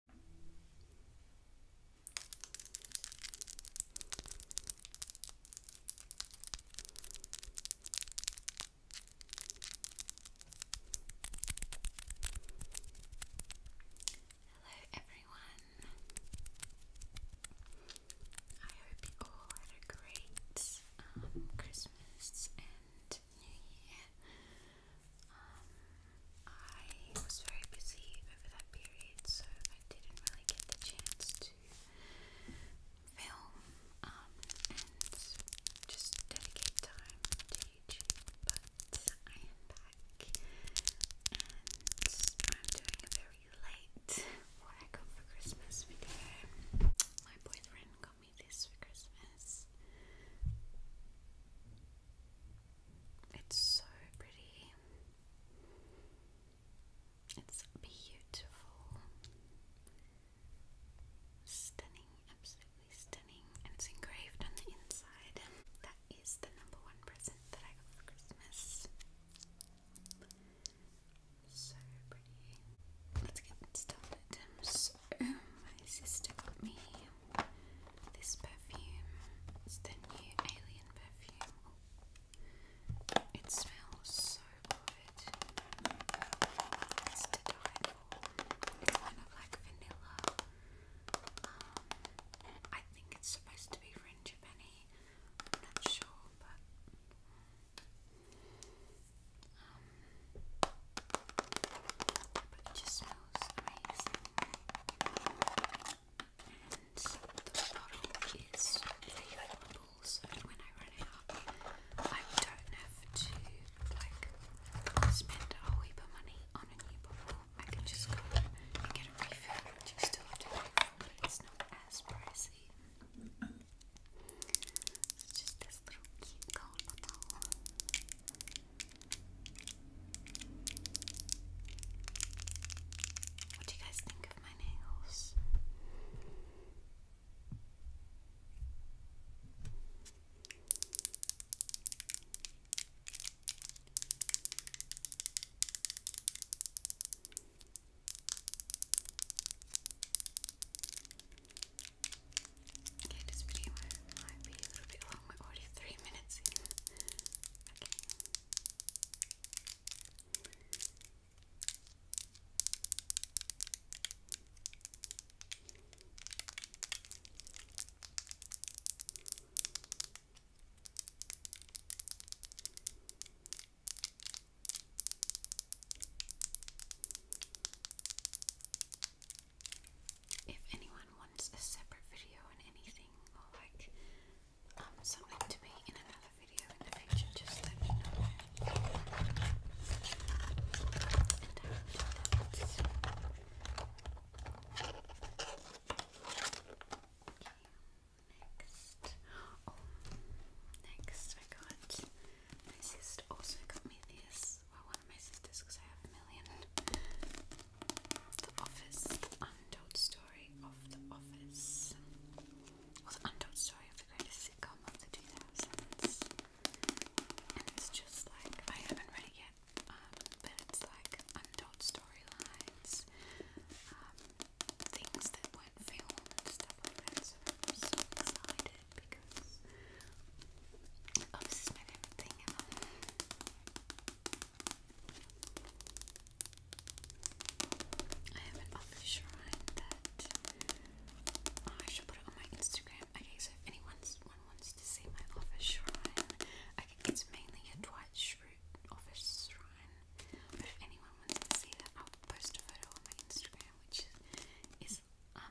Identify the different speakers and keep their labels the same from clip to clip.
Speaker 1: Hello everyone. I hope you all had a great um, Christmas and New Year. Um, I was very busy over that period, so I didn't really get the chance to film um, and just dedicate time to YouTube. But I am back, and I'm doing a very late what I got for Christmas video. My boyfriend got me this for Christmas. It's so pretty. It's beautiful. Stunning, absolutely stunning. And it's engraved on the inside. That is the number one present that I got for Christmas. So pretty. Let's get started. So, my sister got me this perfume is the new alien perfume. It smells so good. It's to It's kind of like vanilla. Um, I think it's supposed to be French Penny. I'm not sure, but um, but it just smells amazing. And the bottle is refillable, so when I run out, I don't have to like spend a heap of money on a new bottle. I can just go and get it refilled, you it's not as pricey. It's just this little cute gold bottle. What do you guys think of my nails? Okay, this video might be a little bit long. We're already three minutes in. Okay if anyone wants a separate video on anything or like um, something to be in another video in the future, just let me know. Uh, next. Oh, next I got, my sister also got me this well, one of my sisters, because I have a million. The Office, untold story of The Office. Well, untold story of the greatest sitcom of the 2000s. And it's just like, I haven't read it yet, um, but it's like untold storylines, um, things that weren't filmed, stuff like that. So am so excited because. Office is my favorite I have an office shrine that oh, I should put it on my Instagram. Okay, so if anyone wants to see my office shrine, I it's mainly a Dwight Schrute office shrine. if anyone wants to see that, I'll post a photo on my Instagram, which is, is um,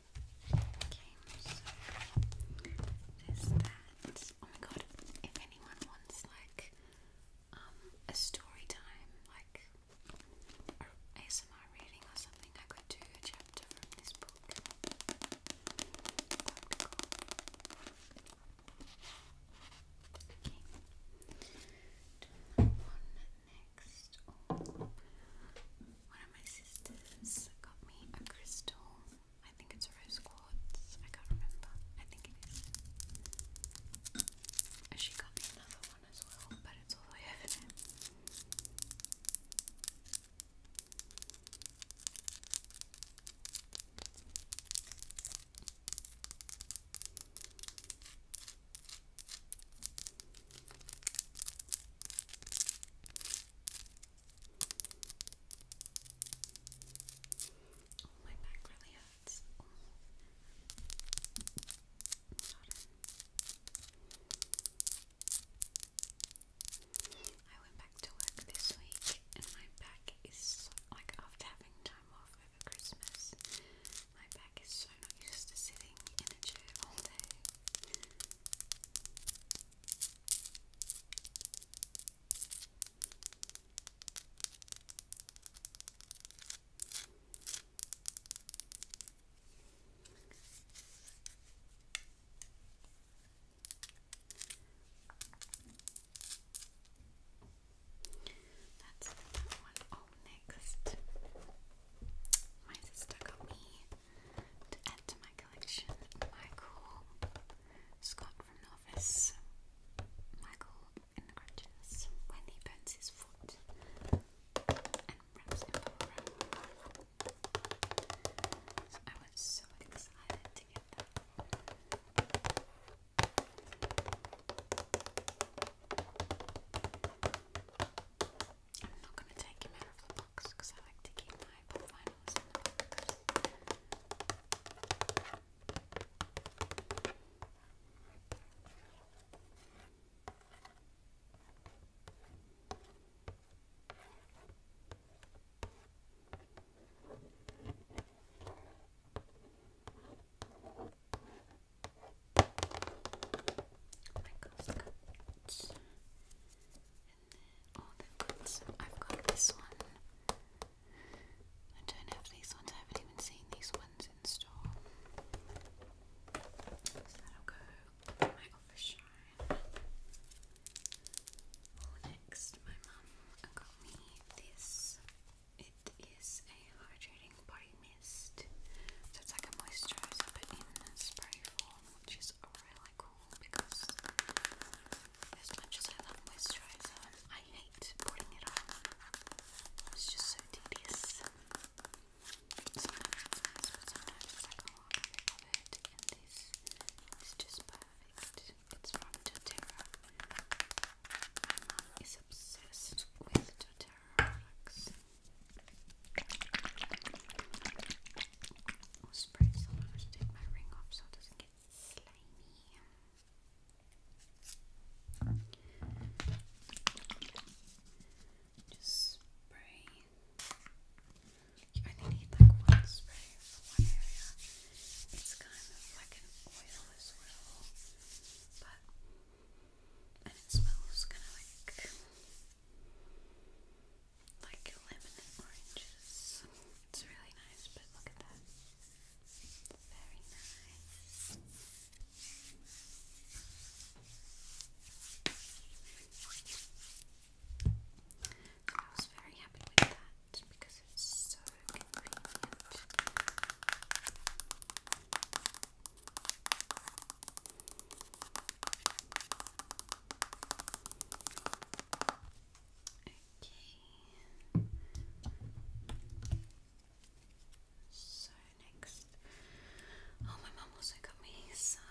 Speaker 1: Okay, so there's that. Oh my god, if anyone wants like um a story time, like ASMR reading or something, I could do a chapter from this book. That'd be that next. Oh. One of my sisters got me a crystal. I think it's rose quartz. I can't remember. I think it is. she got me another one as well, but it's all the way over there. Oh, my back really hurts. I went back to work this week and my back is like after having time off over Christmas, my back is so not used to sitting in a chair all day. That's that one. Oh, next, my sister got me to add to my collection Michael Scott from the office. Michael in the crutches when he burns his foot and wraps him up. I was so excited to get that. I'm not going to take him out of the box because I like to keep my book finals Oh, I've got this one. I don't have these ones, I haven't even seen these ones in store. So that'll go my office shrine. next my mum got me this. It is a hydrating body mist. So it's like a moisturizer but in a spray form, which is really cool because as much as I love moisturizer, I hate putting it on. It's just so tedious. Sometimes it's like, oh, I love it, and this is just perfect. It's from doTERRA. My obsessed with doTERRA I'll spray some. to take my ring off so it doesn't get slimy. Just spray. You only need like one spray for one area. It's kind of like an oil but and it smells kind of like like lemon and oranges. It's really nice, but look at that. very nice. I was very happy with that because it's so convenient. Okay. So next, oh my mum also got me some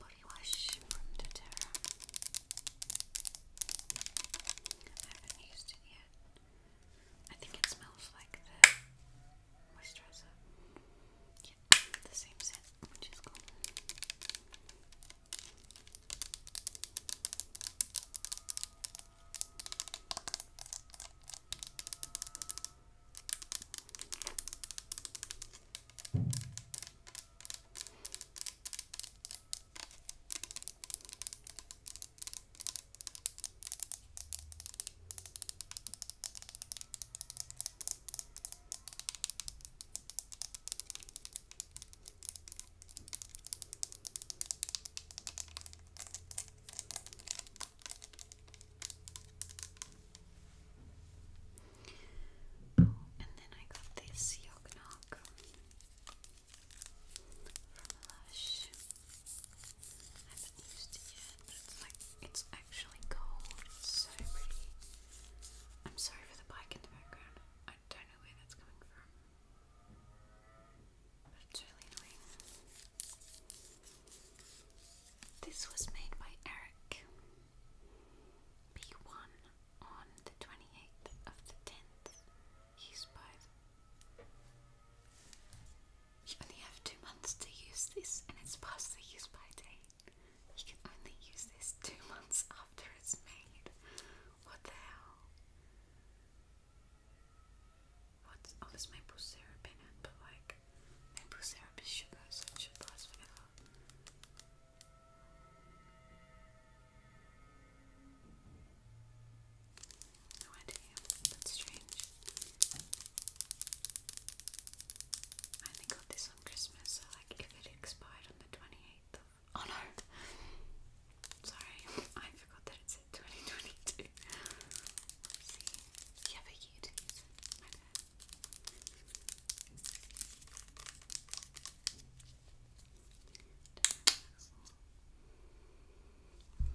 Speaker 1: body wash from doTERRA. I haven't used it yet. I think it smells like the moisturizer. Yeah, the same set, which is cool. Okay. And then I got this Yog from Lush. I haven't used it yet, it's actually cold. It's so pretty. I'm sorry for the bike in the background. I don't know where that's coming from. But it's really annoying. This was made by Eric B1 on the 28th of the 10th. Used by. The... You only have two months to use this, and it's past the use by date. You can only use this two months after it's made. What the hell? What's oh, this maple syrup in it? But like, maple syrup is sugar, so it should last forever. No idea. That's strange. I only got this Christmas, so like if it expired on the 28th of. Oh no! Sorry, I forgot that it 2022. see. Yeah, but you did. My bad.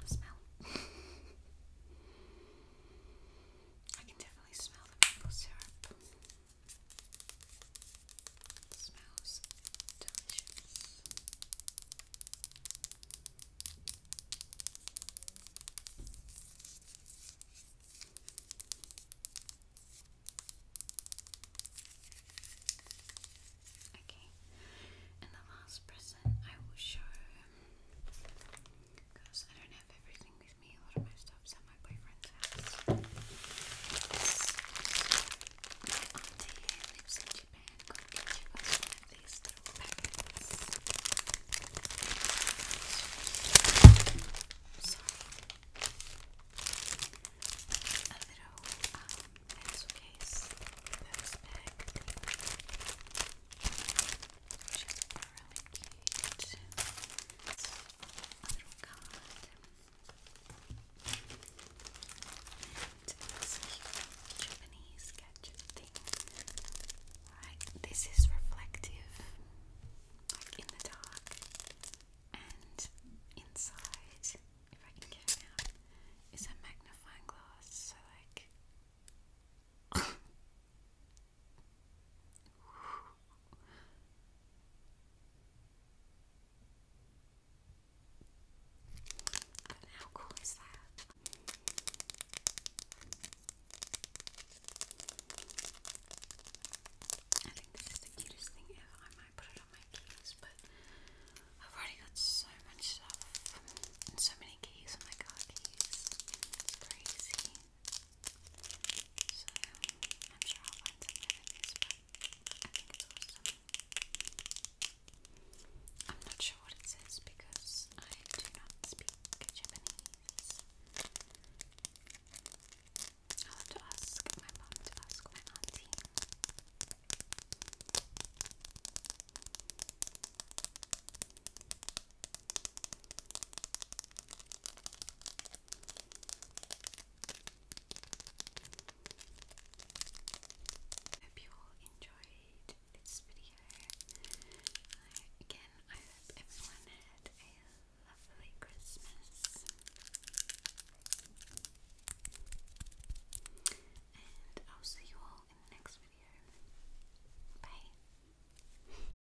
Speaker 1: Smell. I can definitely smell the maple syrup smells delicious. Okay, and the last present I will show because I don't have everything with me. A lot of my stuff's at my boyfriend's house. My auntie who lives in Japan got each of us one of these little packets. Sorry. A little um, pencil bag, which is really cute little card. this is reflective, like in the dark. And inside, if I can get it out, is a magnifying glass. So like I mean, how cool is that? I think this is the cutest thing ever. I might put it on my keys, but I've already got so much stuff and so many keys on oh my keys. It's crazy. So I'm sure I'll find some but I think it's awesome. I'm not sure what it says because I do not speak Japanese. I'll have to ask my mom to ask my auntie. Hope you all enjoyed this video. Uh, again, I hope everyone had a lovely Christmas. And I'll see you all in the next video. Bye.